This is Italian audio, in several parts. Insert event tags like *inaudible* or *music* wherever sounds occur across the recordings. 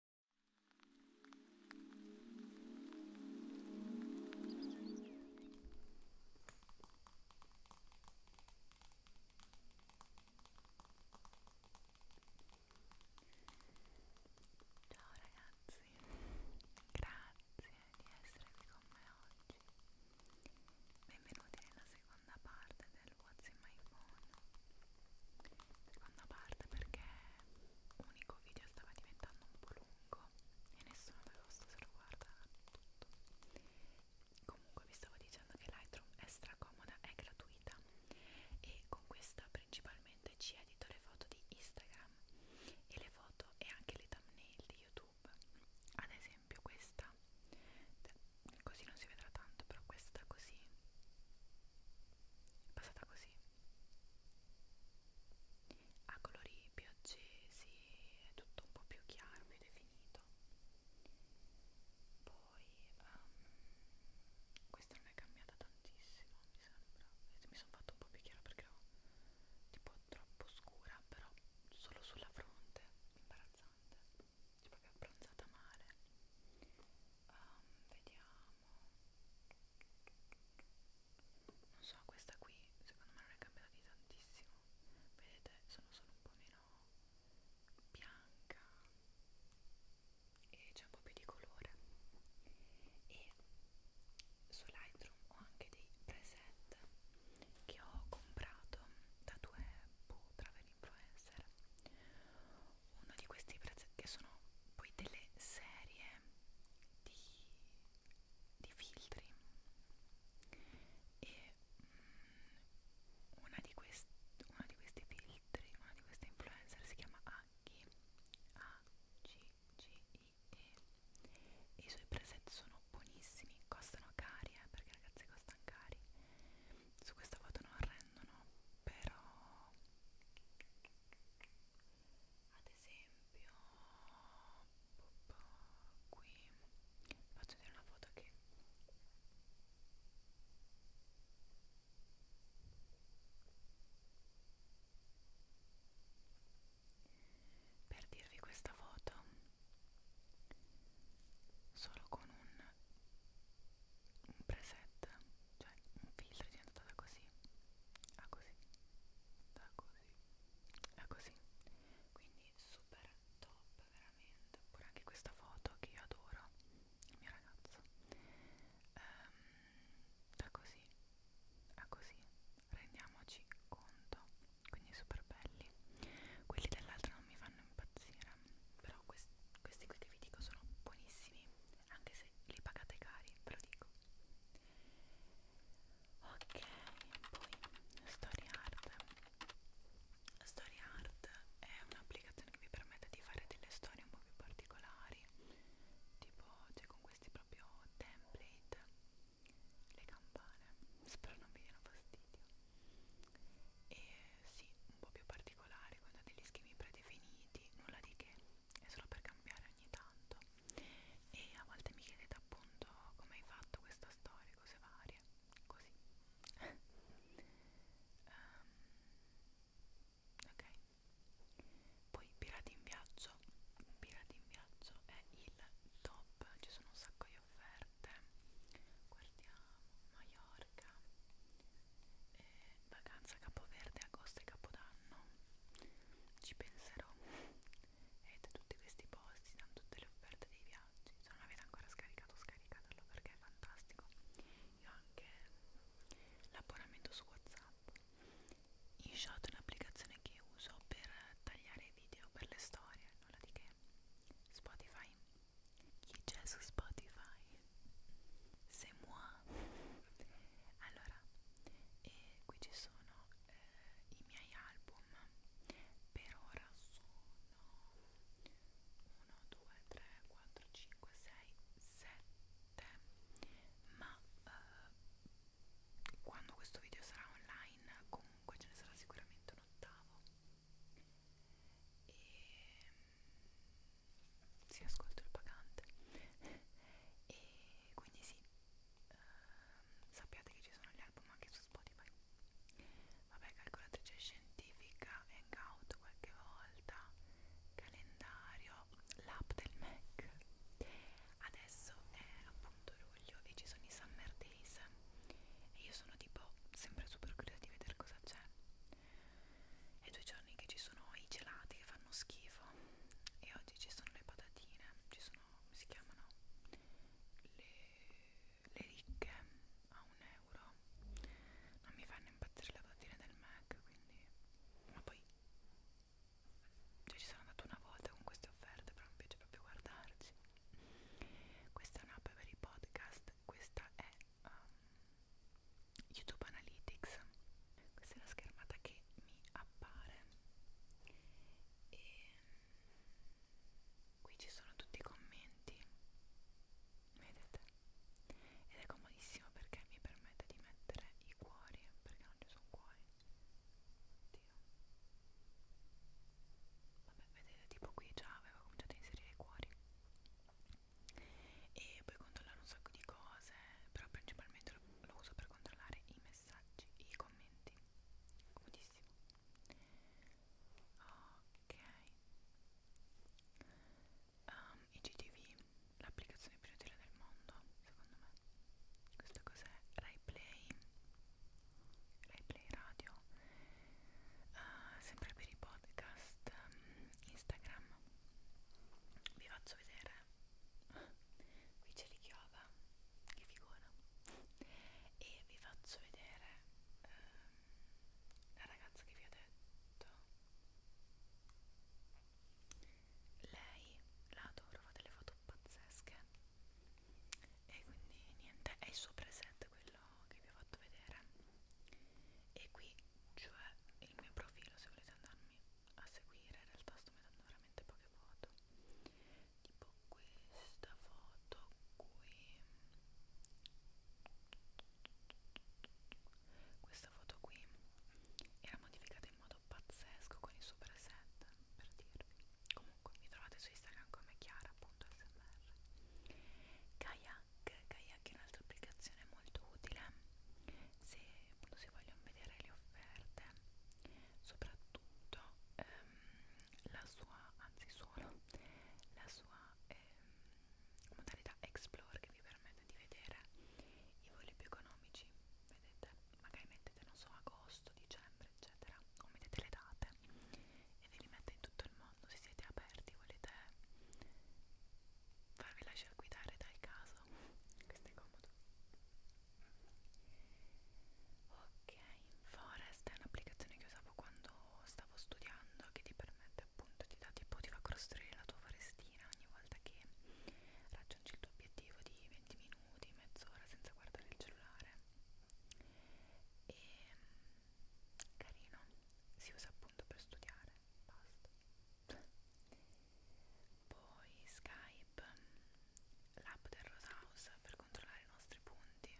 Ciao ragazzi, grazie di essere qui con me oggi. Benvenuti nella seconda parte del What's in My Phone seconda parte perché unico video stava diventando un po' lungo e nessuno aveva visto se lo guarda tutto comunque vi stavo dicendo che Lightroom è stracomoda, è gratuita e con questa principalmente ci edito le foto di Instagram e le foto e anche le thumbnail di YouTube ad esempio questa cioè, così non si vedrà tanto però questa così è passata così a colori più accesi è tutto un po' più chiaro, più definito poi um, questa non è cambiata tantissimo mi sembra mi sono fatto un po' più chiaro perché ero tipo troppo scura però solo sulla fronte imbarazzante c'è proprio abbronzata male. Um, ehm, vediamo. Non so, questa qui secondo me non è cambiata di tantissimo. Vedete, sono solo un po' meno bianca e c'è un po' più di colore. E su Lightroom ho anche dei preset che ho comprato da due boh, influencer uno di questi prezzi che sono poi delle serie di, di filtri e mh, mm, una, di quest, una di questi filtri una di queste influencer si chiama Aghi A G G I e i suoi presenti sono buonissimi costano cari eh, perché ragazzi costano cari su questa foto non rendono però ad esempio qui faccio vedere una foto che per dirvi questa foto solo con un un preset, cioè un filtro è diventato da così a così, da così a così, quindi super top veramente, oppure anche questa foto che io adoro, il mio ragazzo, ehm, da così a così, rendiamoci conto, quindi super belli, quelli dell'altro non mi fanno impazzire, però questi questi qui che vi dico sono buonissimi anche se li pagate cari ve lo dico ok poi story art story art è un'applicazione che vi permette di fare delle storie un po' più particolari tipo cioè con questi proprio template le campane spero non vi diano fastidio e sì, un po' più particolare, quando ha degli schemi predefiniti, nulla di che, è solo per cambiare ogni tanto. E a volte mi chiedete appunto come hai fatto questa storia, cose varie, così. um, *laughs* ok. Poi Pirati in Viaggio, Pirati in Viaggio è il top, ci sono un sacco poi offerte guardiamo Maiorca e eh, vacanza Capoverde agosto e Capodanno ci penserò e da tutti questi posti da tutte le offerte dei viaggi se non l'avete ancora scaricato scaricatelo perché è fantastico io ho anche l'abbonamento su whatsapp InShot è un'applicazione che uso per tagliare video per le storie nulla di che Spotify chi c'è su Spotify? C'est moi! Allora, e eh, qui ci sono eh, i miei album. Per ora sono 1, 2, 3, 4, 5, 6, 7. Ma eh, quando questo video sarà online, comunque ce ne sarà sicuramente un ottavo e si sì, ascolto il pagante e quindi sì eh, sappiate che ci sono gli album anche su Spotify vabbè calcolatrice scientifica hangout qualche volta calendario l'app del Mac adesso è appunto luglio e ci sono i summer days Face e io sono tipo sempre super curiosa di vedere cosa c'è è due giorni che ci sono i gelati che fanno schifo e oggi ci sono le patatine ci sono, come si chiamano? le, le ricche a un euro non mi fanno impazzire le patatine del Mac quindi ma poi cioè ci sono andata una volta con queste offerte però mi piace proprio guardarci questa è un'app per i podcast, questa è um, YouTube Analytics. Questa è la schermata che mi appare. E qui ci sono tutti i commenti. Vedete? Ed è comodissimo perché mi permette di mettere i cuori, perché non ci sono cuori. Oddio oddio vabbè vedete tipo qui già avevo cominciato a inserire i cuori e puoi controllare un sacco di cose però principalmente lo, lo uso per controllare i messaggi e i commenti comodissimo ok um, IGTV l'applicazione più utile del mondo secondo me questo cos'è? Rai Play Replay Radio, uh, sempre per i podcast um, Instagram. Vi faccio vedere, qui c'è l'ichioba, che figura, e vi faccio vedere um, la ragazza che vi ho detto. Lei la adoro, fa delle foto pazzesche e quindi niente è il suo preset quello che vi ho fatto vedere e qui cioè il mio profilo se volete andarmi a seguire in realtà sto mettendo veramente poche foto tipo questa foto qui questa foto qui era modificata in modo modo pazzesco con i super set per dirvi comunque mi trovate su Instagram come chiara.smr kayak kayak è un'altra applicazione molto utile se appunto si vogliono vedere le offerte soprattutto ehm, la sua anzi solo la sua ehm, modalità explore che vi permette di vedere i voli più economici vedete magari mettete non so agosto, dicembre eccetera o mettete le date e ve li mette in tutto il mondo se siete aperti volete farvi lasciare guidare dal caso *laughs* questo è comodo ok Forest è un'applicazione che usavo quando stavo studiando che ti permette appunto ti dà tipo ti fa costruire la tua forestina ogni volta che raggiungi il tuo obiettivo di 20 minuti, mezz'ora senza guardare il cellulare e ehm, carino, si usa appunto per studiare, basta poi Skype, l'app del Rosehouse per controllare i nostri punti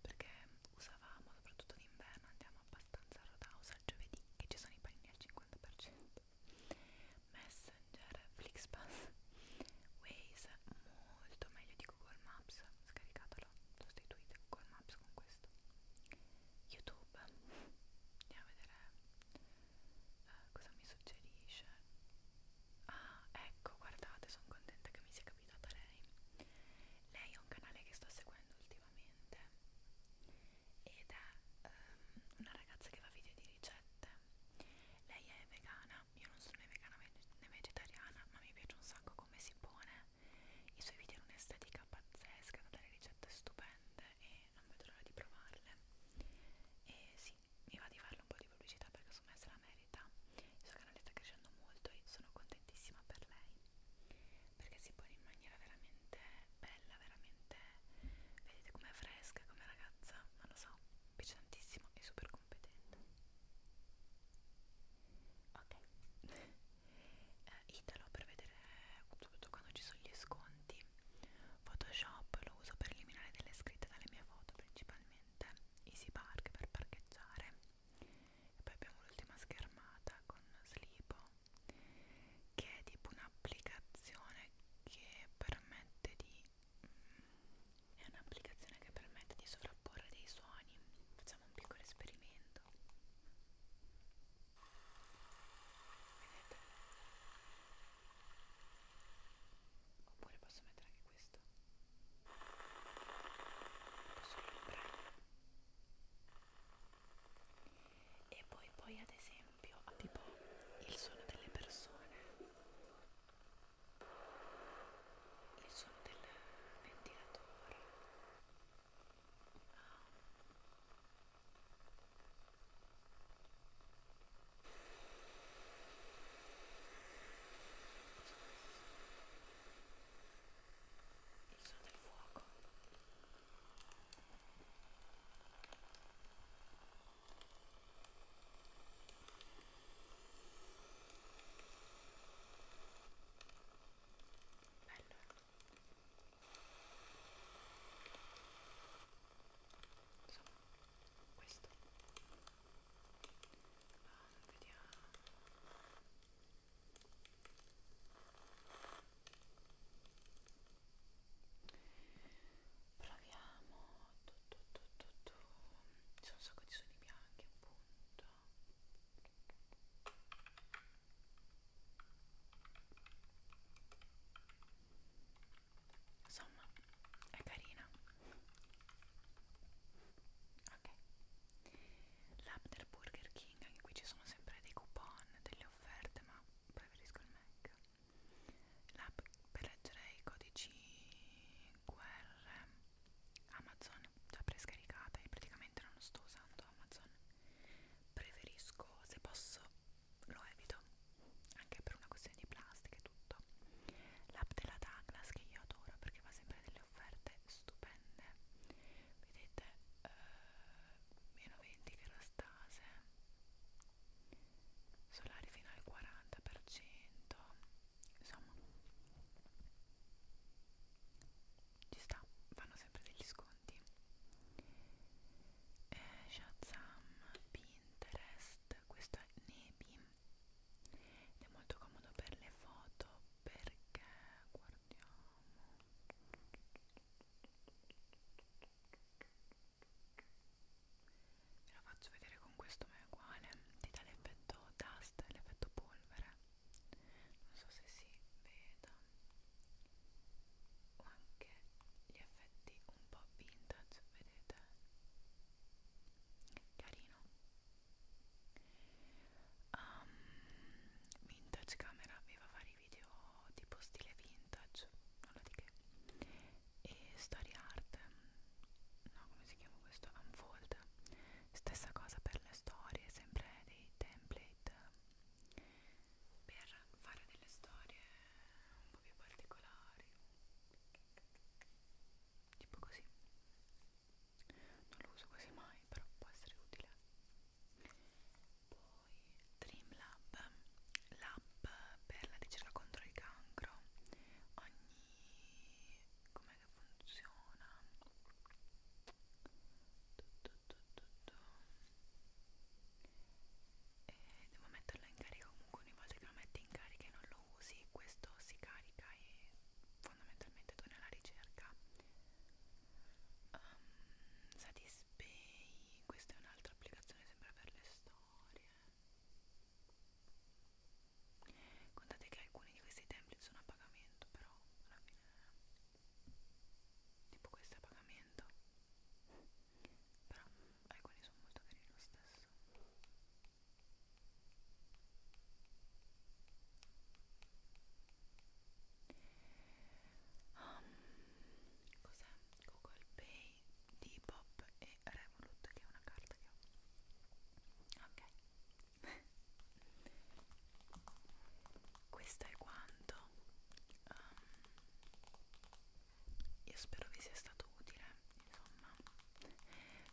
perché usavamo soprattutto d'inverno, andiamo abbastanza a Rosehouse al giovedì che ci sono i panini al 50% Messenger, Flixpass, Waze, molto meglio di Google Maps, scaricatelo, sostituite Google Maps con questo. YouTube, andiamo a vedere eh, cosa mi suggerisce. Ah, ecco, guardate, sono contenta che mi sia capitata lei. Lei è un canale che sto seguendo ultimamente ed è um, una ragazza che fa video di ricette lei è vegana, io non sono né vegana né vegetariana, ma mi piace un sacco come si pone. I suoi video hanno un'estetica pazzesca, delle ricette stupende e non vedo l'ora di provarle. E sì, mi va di farle un po' di pubblicità perché su me se la merita. Il suo canale sta crescendo molto e sono contentissima per lei perché si pone in maniera veramente bella bella veramente vedete com'è fresca come ragazza non lo so piace tantissimo e super competente ok eh, Italo per vedere soprattutto quando ci sono gli sconti Photoshop lo uso per eliminare delle scritte dalle mie foto principalmente Easy Park per parcheggiare e poi abbiamo l'ultima schermata con Slipo che è tipo un'applicazione che permette di mm, è un'applicazione che permette di sovrapporre dei suoni facciamo un piccolo esperimento vedete oppure posso mettere anche questo posso comprare e poi poi ad esempio esempio tipo il suono delle persone il suono del ventilatore il suono del fuoco Bello. Insomma, ah, questo. Um, vediamo proviamo tu, tu, tu, tu, tu. c'è un sacco di suoni bianchi appunto insomma è carina ok l'app del Burger King anche qui ci sono sempre dei coupon delle offerte ma preferisco il Mac l'app per leggere i codici QR Amazon già prescaricata e praticamente non sto usando Amazon preferisco se posso lo evito anche per una questione di plastica e tutto l'app della Douglas che io adoro perché fa sempre delle offerte stupende vedete eh, meno 20 virastase solari fino al 40% insomma ci sta fanno sempre degli sconti eh, Shazam Pinterest questo è Nebi ed è molto comodo per le foto perché guardate Ve lo faccio vedere con questo ma è uguale, ti dà l'effetto dust, l'effetto polvere. Non so se si veda. O anche gli effetti un po' vintage, vedete? Carino. Um, vintage camera vi fa fare i video tipo stile vintage, nulla di che, e story art, no come si chiama questo, unfold, stessa cosa per le storie, sempre dei template per fare delle storie un po' più particolari, tipo così, non lo uso quasi mai, però può essere utile poi Dreamlab, l'app per la ricerca contro il cancro ogni... com'è che funziona? Tutto, tutto, tutto. E devo metterla in carica comunque ogni volta che lo metti in carica e non lo usi questo si carica e fondamentalmente torna alla ricerca um, ehm, Satispay questa è un'altra applicazione sempre per le storie contate che alcuni di questi template sono a pagamento però alla fine tipo questo è a pagamento però alcuni sono molto carini lo stesso um, cos'è? Google Pay, Depop e Revolut che è una carta che ho ok *laughs* questo è quanto um, io spero vi sia stato utile insomma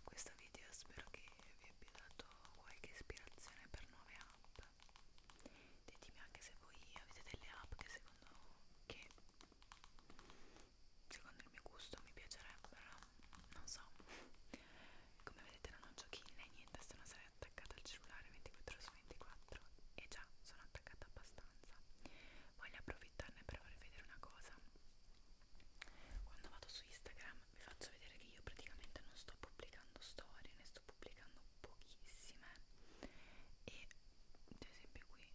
questo video spero che vi abbia dato qualche ispirazione per nuove app ditemi anche se voi avete delle app che secondo, che secondo il mio gusto mi piacerebbero non so come vedete non ho giochini né niente sono sarei attaccata al cellulare 24 su 24 e già sono attaccata abbastanza voglio approfittarne per farvi vedere una cosa quando vado su Instagram vi faccio vedere che io praticamente non sto pubblicando storie, ne sto pubblicando pochissime e ad esempio qui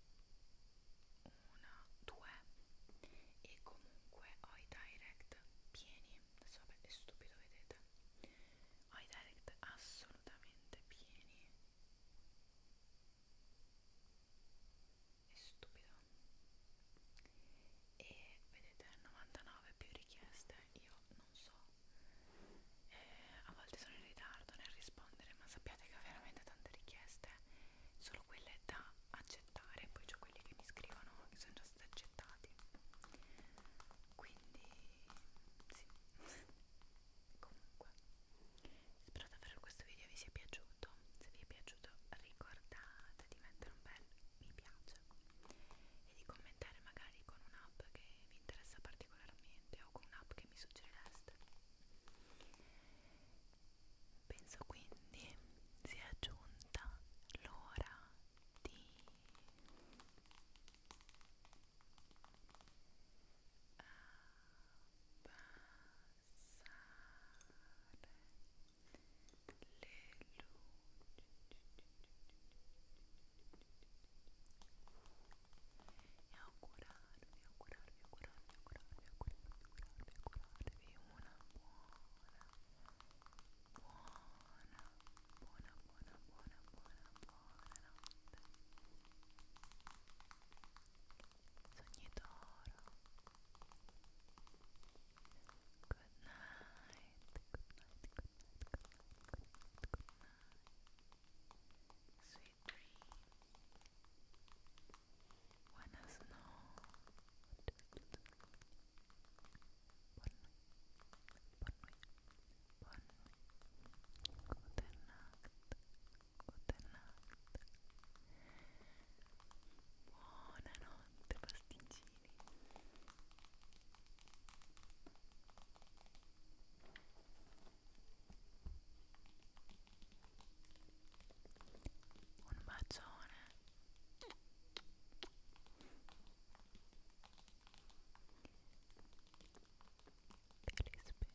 una, due e comunque ho i direct pieni, adesso vabbè è stupido vedete, ho i direct assolutamente pieni è stupido e vedete 99 più richieste io non so e a volte sono in ritardo nel rispondere ma sappiate che ho veramente tante richieste solo quelle da accettare poi c'ho quelli che mi scrivono che sono già stati accettati quindi sì *laughs* comunque spero davvero che questo video vi sia piaciuto se vi è piaciuto ricordate di mettere un bel mi piace e di commentare magari con un'app che vi interessa particolarmente o con un'app che mi suggerireste. Penso quindi sia giunta l'ora di abbassare e augurarvi, augurarvi, augurarvi, augurarvi, augurarvi, augurarvi, augurarvi una buona, buona, buona, buona, buona, buona, buona notte. Sogni d'oro. Good night. Good night. Good night. Good night. Good night. Sweet dreams. Buenas noches. Buenas noches. Good night. Good night. Buenas noches. quante pasticcini un bacione te li spero